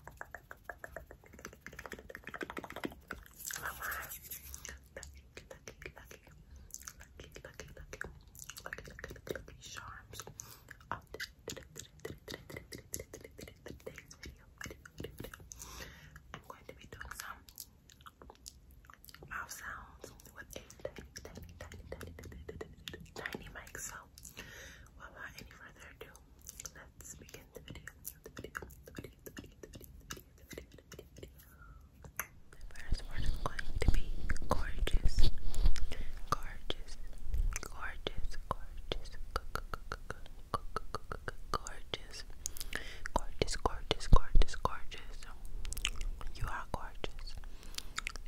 I'm going to be doing some mouth sounds with a tiny, tiny, tiny, tiny, tiny, tiny mic. So without any further ado, let's begin the video. The first word is going to be gorgeous, gorgeous, gorgeous, gorgeous, gorgeous, gorgeous, gorgeous, gorgeous, gorgeous. You are gorgeous.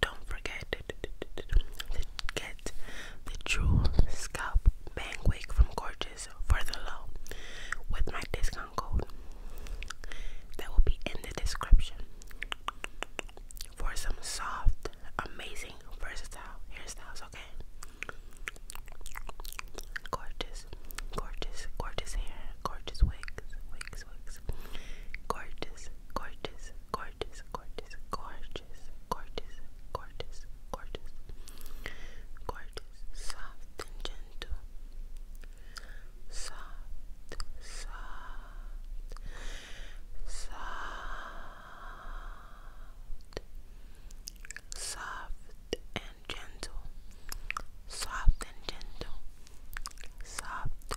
Don't forget to get the True Scalp Bang Wig from Gorgeous for the low with my discount code that will be in the description for some soft, amazing, versatile hairstyles, okay? Gorgeous, gorgeous, gorgeous hair, gorgeous wigs, wigs, wigs, gorgeous, gorgeous, gorgeous, gorgeous, gorgeous, gorgeous, gorgeous, gorgeous, gorgeous, soft and gentle, soft, soft, soft, soft and gentle, soft and gentle, soft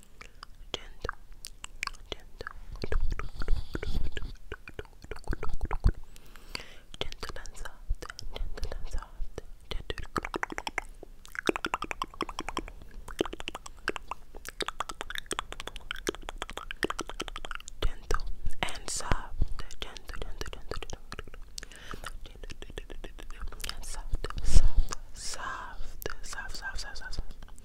gentle, gentle, gentle and soft, gentle and soft, gentle. Gentle and soft, gentle, gentle, gentle, gentle, gentle, gentle, soft, soft, soft, soft, soft, soft, soft, soft,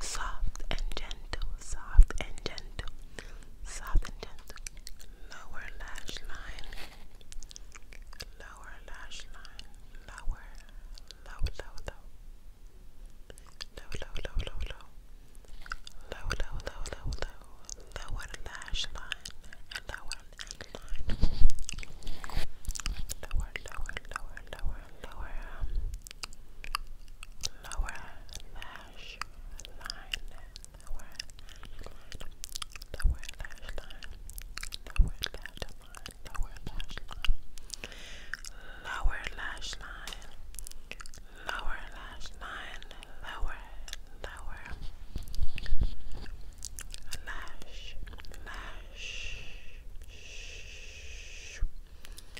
soft and gentle, soft and gentle, soft and gentle. Lower lash line, lower lash line, lower, low, low, low, low, low, low, low, low, low, low, low, low, lower lash line, lower lower, lower, lower, lower, um, lower lash line, lower lower lash line, lower lash line, lower lash line, lower lash line, lower lash line, lower lower lash lash. Lash,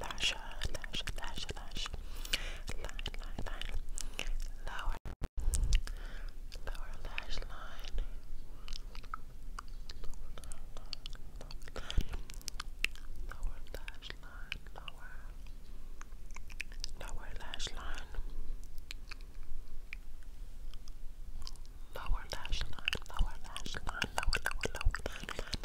lash, lash, lash, lash, line, line, line, lower, lower lash line, lower, lower lash line, lower, lower lash line, lower lash line, lower lash line, lower, lower, lower lash line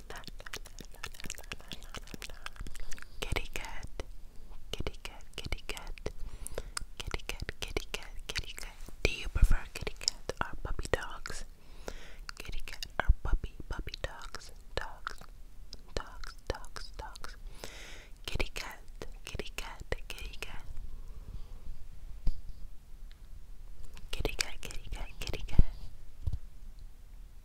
Kitty cat, kitty cat, kitty cat, kitty cat, kitty cat, kitty cat. Do you prefer kitty cat or puppy dogs? Kitty cat or puppy, puppy dogs, dogs, dogs, dogs, dogs. Kitty cat, kitty cat, kitty cat. Kitty cat, kitty cat, kitty cat.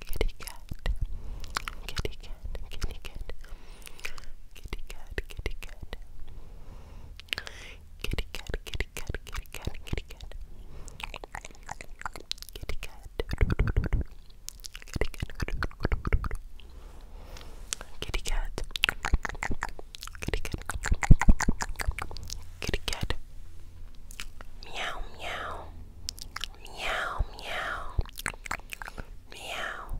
kitty cat, kitty cat, kitty cat, kitty cat, kitty cat, kitty cat, kitty cat, kitty cat, kitty cat, kitty cat, kitty cat, kitty cat, kitty cat, kitty cat, meow meow. Meow, meow, meow,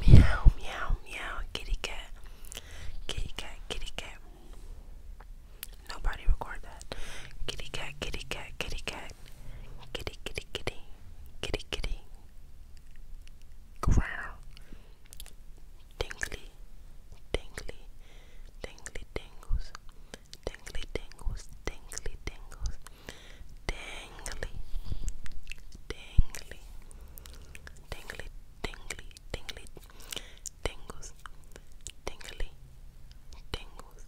meow, meow, meow, kitty cat, kitty cat, kitty cat. Nobody record that. Kitty cat, kitty cat, kitty cat, kitty, kitty, kitty, kitty, kitty. Growl tingly, tingly, tingly tingles, tingly tingles, tingly tingles, tingly, tingly, tingly, tingly, tingly, tingles, tingly, tingles, tingly. Tingles,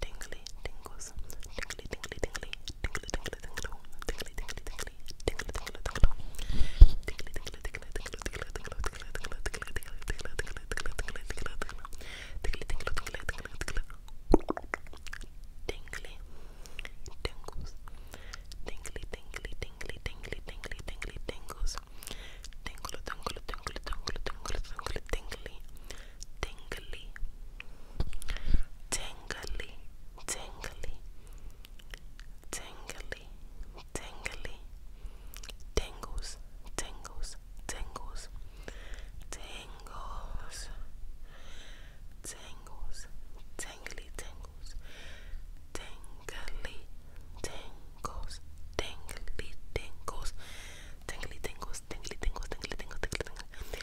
Tingly tingles, tingly, tingly, tingly, tingly, tingly, tingle, tingly, tingly, tingly, tingly, tingle, tingle, tingly, tingly, tingly, tingle, tingle, tingle, tingle, tingle, tingle, tingle, tingle, tingle, tingle, tingle, tingle, tingle, tingly, tingle, tingle, tingle, tingle, tingly, tingles, tingly, tingly, tingly, tingly, tingly, tingly, tingles, tingle, tingle, tingle, tingle, tingle, tingle, tingly tingly, tingly, tingly, tingly, tingly, tingles, tingles, tingles, tingles, tingles, tingly, tingles, tingly, tingles. Tingly tingles, tingly tingles, tingly tingles, tingly tingles, tingly tingles, tingly tingles,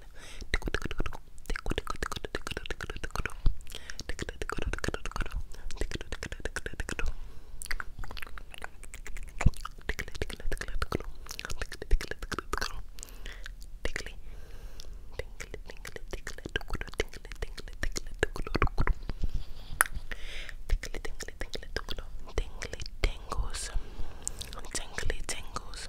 tingly tingles tingly tingles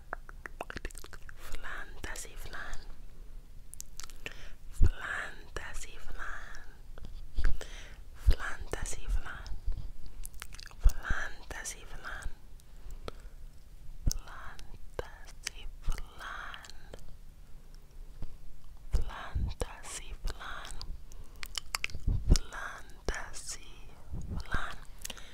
Fantasy flan. Fantasy flan. Fantasy flan. Fantasy flan. Fantasy flan. Fantasy flan. Fantasy flan.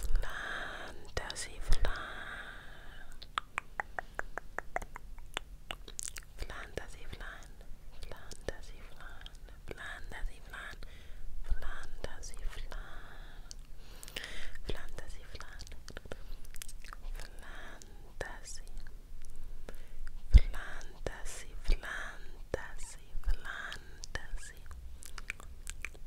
Vlaan, Tessie, Vlaan. Vlaan, Tessie, Vlaan. Vlaan, Tessie, Vlaan. Vlaan, Tessie, Vlaan. Vlaan, Tessie, Vlaan. Vlaan, Tessie, Vlaan. Vlaan, Tessie. Vlaan, Tessie, Vlaan, Tessie, Vlaan, Tessie. Vlaan, Tessie.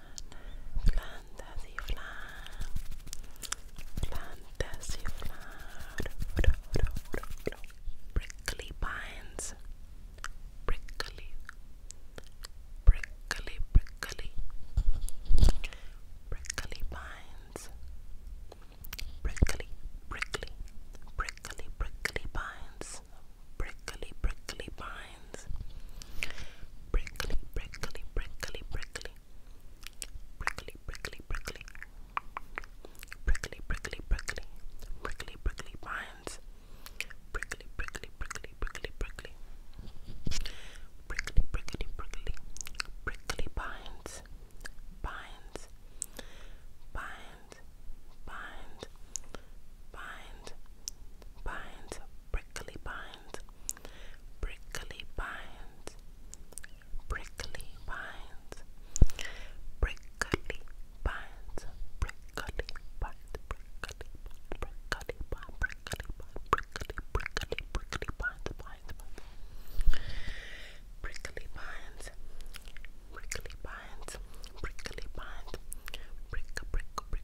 fantasy flower, fantasy flower, prickly pines, prickly, prickly, prickly, prickly pines, prickly, prickly, prickly, prickly pines, prickly, prickly pines lines. Prickly, prickly, prickly, prickly. Prickly, prickly, prickly. Prickly, prickly, prickly. Prickly, prickly vines. Prickly, prickly, prickly, prickly, prickly. Prickly, prickly, prickly. Prickly vines. Vines. Vines. Vines. Vines. Vines. Prickly vines. Brickley prickly pines, prickly pines, prickly pines, prickly pines, prickly prickly pine, prickly pine, prickly, prickly, prickly pines, pines, pines. Prickly pines, prickly pines, prickly pines, prick, prick,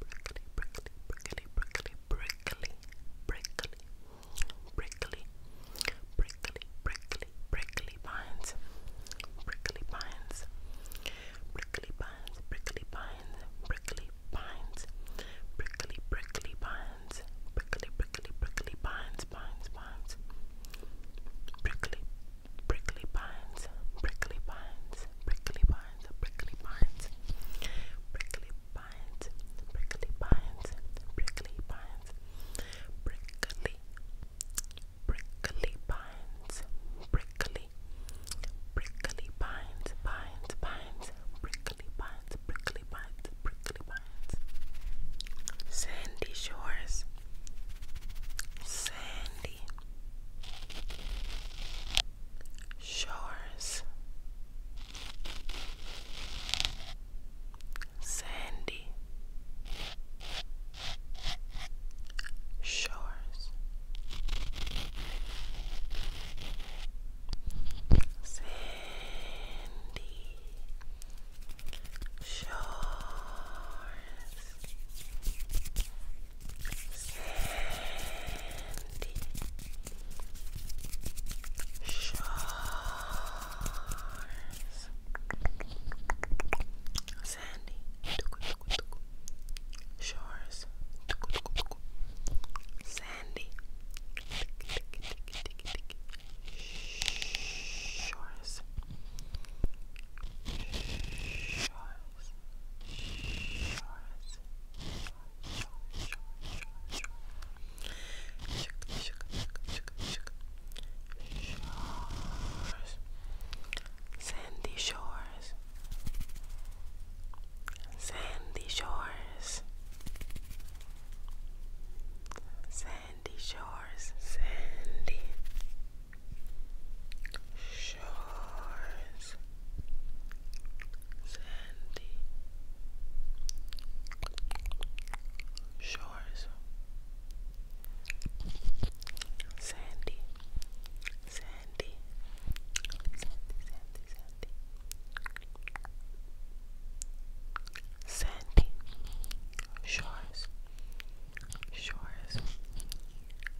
brickley, prickly, prickly, prickly, prickly, prickly, prickly, prickly, prickly, prickly pines, prickly pines, prickly pines, prickly pines, prickly pines, prickly, prickly pines, prickly, prickly, prickly pines, pines, pines, prickly, prickly pines, prickly pines, prickly pines, prickly pines, prickly pines, prickly pines, prickly pines, prickly, prickly pines, prickly, prickly pines, pines, pines, prickly pines, prickly pines, prickly pines, sandy shores. Sandy Shores Sandy Shores Sandy Shores Sandy Shores Sandy Shores Sandy Shores Sandy shores, sandy shores, sandy shores, sandy shores, sandy shores, sandy, sandy, sandy, sandy, sandy. Sandy shores, shores,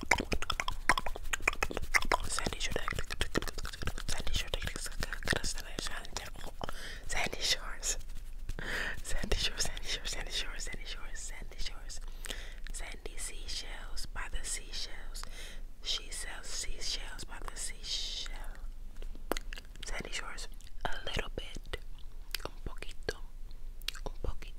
Sen Shore. Sandy Shore. Sandy Shores. Sandy Shore, Sandy Shore, Sandy Shore, Sandy Shores, Sandy Shores. Sandy Seashells by the Seashells. She sells seashells by the seashell. Sandy Shores. A little bit. Un poquito. Un poquito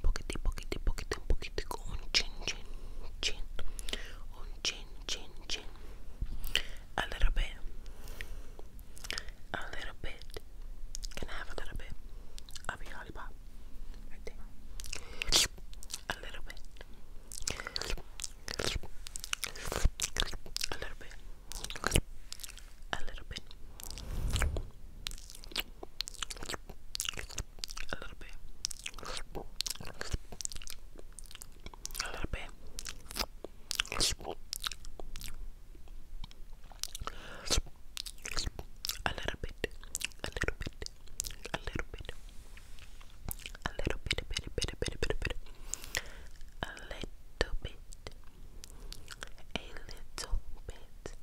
poquiti, poquiti, a little bit, a little bit. Can I have a little bit of your lollipop? A little bit. A little bit. A little bit a little bit, a little bit. A little bit, a little bit, a little bit, a little bit, a bit, bit, a bit, bit, a little bit, a little bit,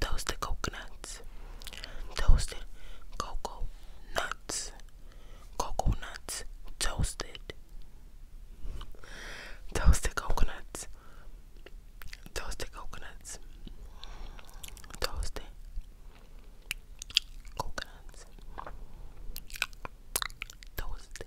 toasted coconuts, toasted cocoa nuts, cocoa nuts toasted, toasted coconuts, toasted coconuts, toasted coconuts, toasted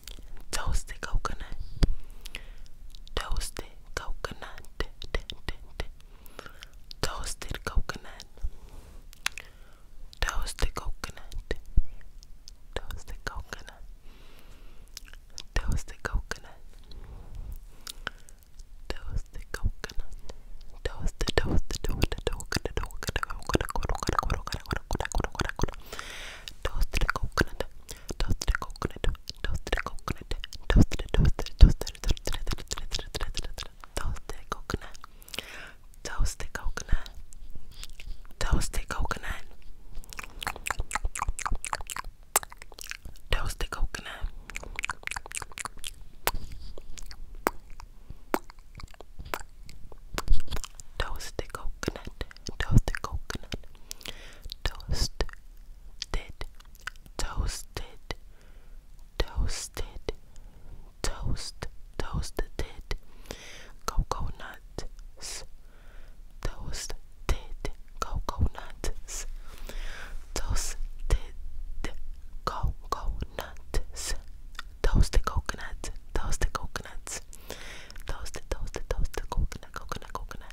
toasted coconut, toasted coconut, toasted coconut, toasted coconut, toasted coconut, toasted coconut, toasted coconut, toasted, toasted, toasted, toasted, toasted coconut, toasted coconut, toasted coconut, toasted coconut, toasted, toasted, toasted, toasted, toasted, toasted, toasted coconut, toasted coconut, toasted coconut, toasted coconut. Toast the coconut, toast the coconut, toast toasted, toasted, toasted, toast, toasted, coconuts, toasted, coconuts, toasted, coconuts, toasted coconut, toasted coconuts, toasted, toasted, toasted coconut, coconut, coconut.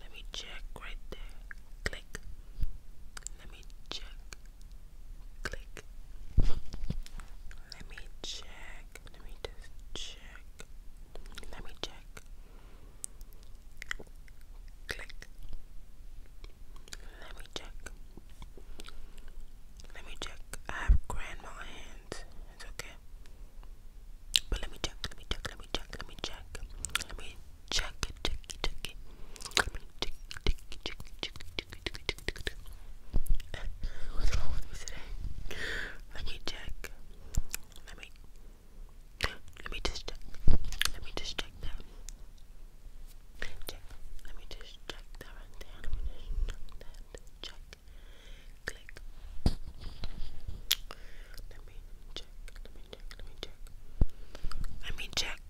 Let me check right there. Click. Let me check. Click. Let me check. Let me just check. Let me check. Click. Let me check. Let me check. I have grandma hands. It's okay. But let me check, let me check, let me check, let me check. Let me Check it, check it, check it. Check it, check it, check it, check check check check What's wrong with me today? Let me check. Let me. Let me just check. Let me just check that. Check. Let me just check that right there. Let me just check that. Check. Click. Let me check, let me check, let me check.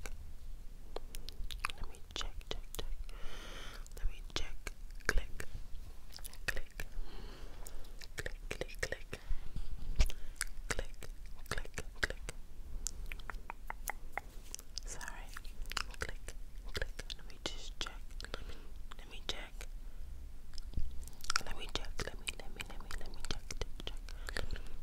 Let me check. Let me check, check, check. Let me check. Click. Click. Click, click, click. Click, click, click. Sorry. Click, click. Let me just check. Let me let me check. Let me check. Let me let me let me let me check. Check. check.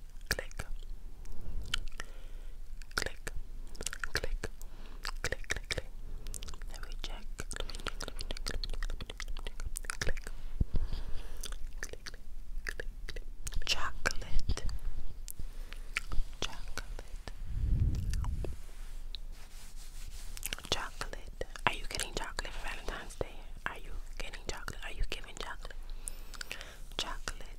click, click, click, click, click, click. Let me check. Let Click. Click, click, click, click. Chocolate. Chocolate. Chocolate. Are you getting chocolate for Valentine's Day? Are you getting chocolate? Are you giving chocolate? Chocolate.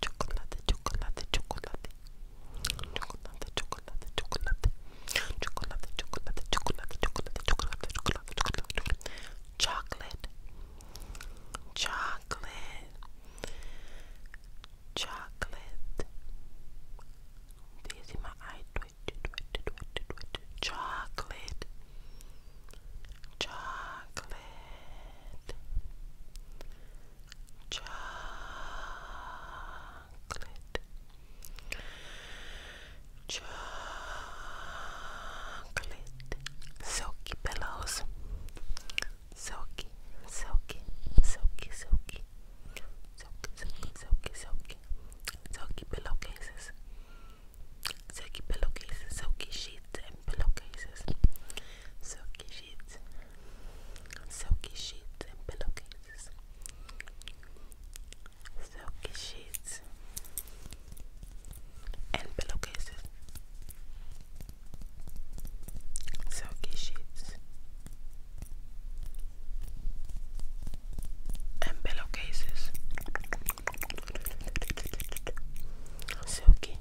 chocolate, chocolate, chocolate, chocolate, chocolate, chocolate, chocolate, chocolate, chocolate, chocolate, chocolate, chocolate, chocolate, chocolate, chocolate, chocolate. Do you see my eye twitch, twitch, twitch, twitch? Chocolate, chocolate, chocolate, chocolate, silky pillows, silky, silky, silky, silky, silky, silky, silky, silky, silky pillowcases. Silky pillowcases, silky sheets and pillowcases silky sheets, silky sheets and pillowcases, silky sheets and pillowcases, silky sheets and pillowcases, silky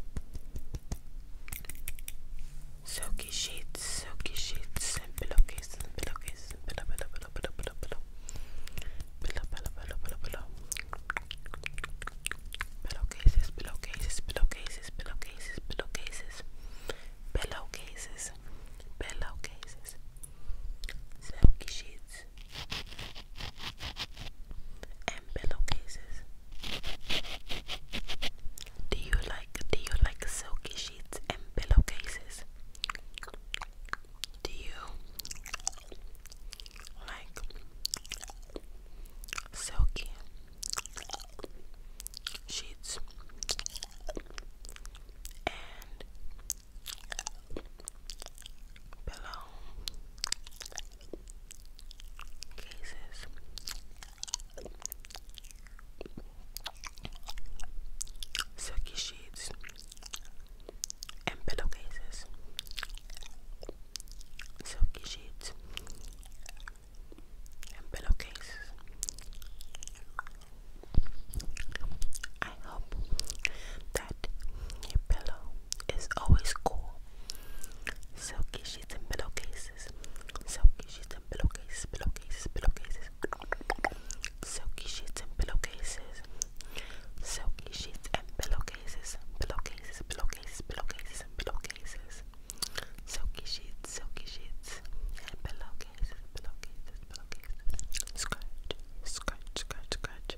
Silky sheets, silky sheets, and pillowcases, pillowcases, pillow, pillow, pillow, pillow, pillow, pillow, pillow, pillow, pillow, pillow, pillow, pillowcases, pillowcases, pillowcases, pillowcases, pillowcases, pillowcases, pillowcases, silky sheets, and pillowcases. Do you like do you like silky sheets and pillowcases? Do you like silky sheets and pillow cases. Silky sheets and pillowcases. Silky sheets and pillowcases. I hope that your pillow it's always cool. Silky sheets and pillowcases. Silky sheets and pillowcases, pillowcases, pillowcases. Silky sheets and pillowcases. Silky sheets and pillowcases. Pillowcases, pillowcases, pillowcases, pillowcases. Silky sheets, silky sheets, and pillowcases, pillowcases, pillowcases. Scratch, scratch, scratch, scratch.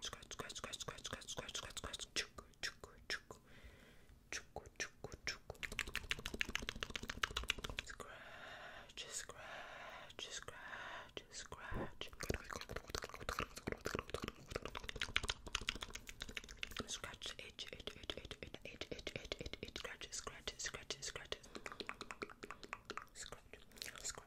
Scratch, scratch, scratch, scratch, scratch, scratch, scratch, scratch. Chuck, chuck, chuck. Chuck, chuck, chuck. Scratch, scratch, scratch, scratch. Scratch, itch, itch, itch, itch, itch, itch, itch, itch, itch, itch, scratch, scratch, scratch, scratch. Scratch, scratch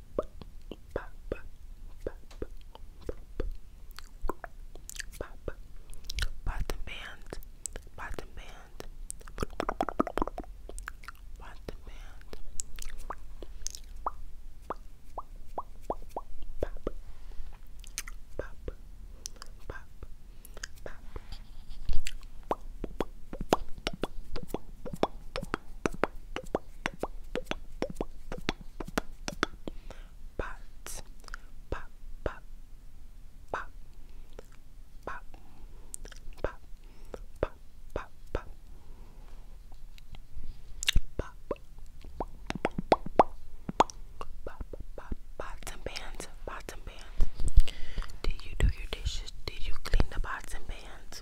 Bottom band, bottom band, bottom band, pop, pop, pop, pop. But, but, but, but, but, but, but, but, but. Bottom bands, bottom bands. Did you do your dishes? Did you clean the bottom bands?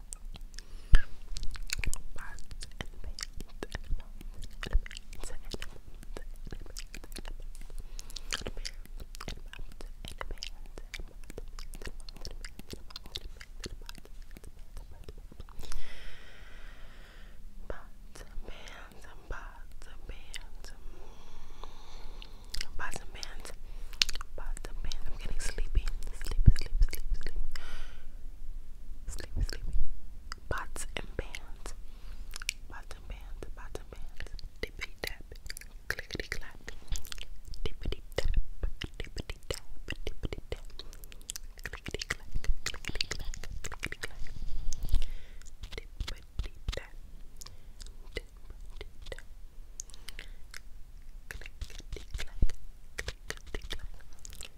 Birds and bears and and bears and and bears and and bands, buds and bands. I'm getting sleepy, sleep, sleep, sleep, sleep. Sleepy, sleepy. Pots and pans. Pots and pans, pots and pans. Dippity tap, tap, dippity tap, dippity tap. Clickety tap, dippity tap. Clickety clack, clickety clack. Clickety clack, clickety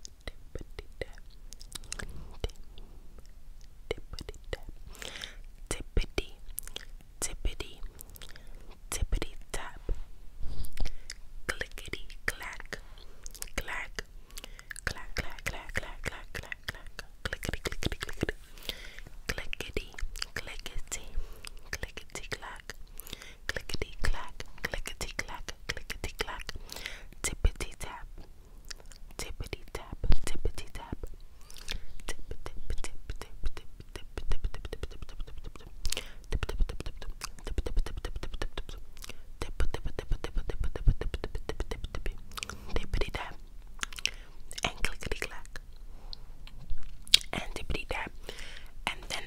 tippity tippity tippity tap clickety clack clack clack clack clack clack clack clack clack clickety clickety clickety clickety clickety clickety clack clickety clack, clickety clack, clickety clack, tippity tap, tippity tap, tippity tap, tip tip tip tip tip tip tip tip tip tip tip tip and clickety clack and dippity dab and then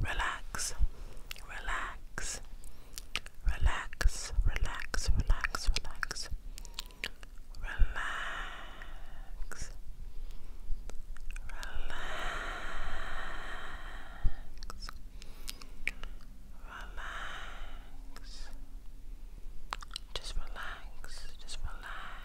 Relax, relax, relax, relax, relax, relax, relax, relax. Relax. Just relax. Just relax.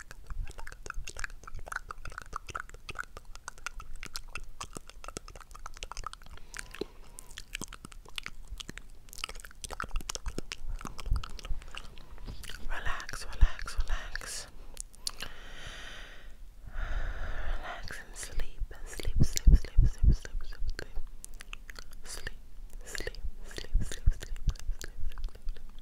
Relax, relax, relax. Relax and sleep. Sleep, sleep, sleep, sleep, sleep, sleep, sleep. Sleep, sleep, sleep, sleep, sleep, sleep, sleep, sleep, sleep, sleep.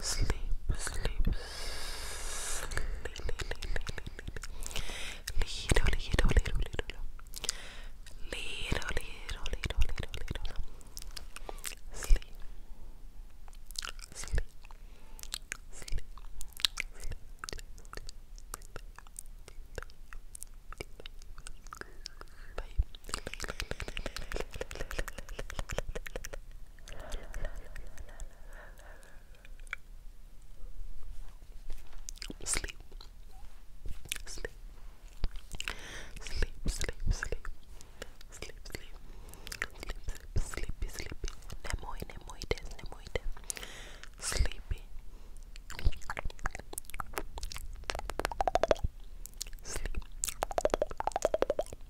Sleep, sleep, sleep, Lido, lido, lido, lido. Lido, lido, lido, lido, lido. Sleep. Sleep. Sleep. Sleep. Bye. Sleep. Sleep. Sleep, sleep, sleep. Sleep, sleep. Sleep, sleep, sleepy, sleepy. Nemoy, nemoides, nemoides. Sleepy. Sleep. Sleep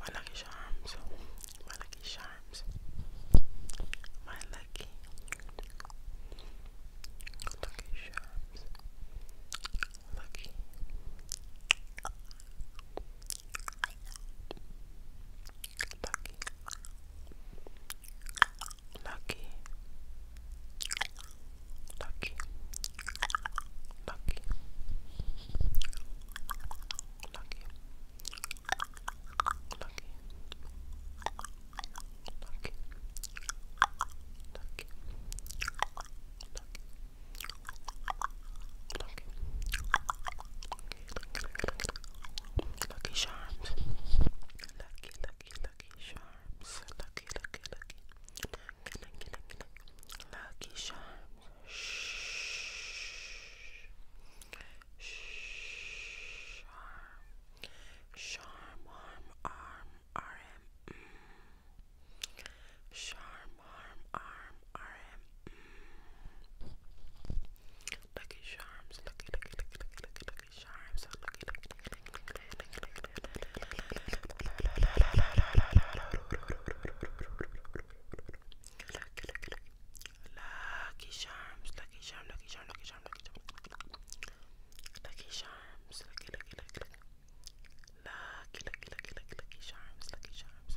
My lucky charms. My lucky charms. My lucky. Lucky charms. Lucky. Lucky. Lucky. Lucky. Lucky. Lucky. Lucky. Lucky. Lucky. Lucky. Lucky charms. Lucky, lucky, lucky charms. Lucky, lucky, lucky. Lucky, lucky, lucky. Lucky charms. Charm, arm, arm, RM. Charm, arm, arm, RM. Lucky charms, lucky, lucky, lucky, lucky, lucky charms, lucky, lucky, lucky, lucky, lucky, lucky, Lucky charms, lucky charm, lucky charm, lucky charm, lucky charm. Lucky charms, lucky, lucky, lucky, lucky. Lucky, charms, lucky charms.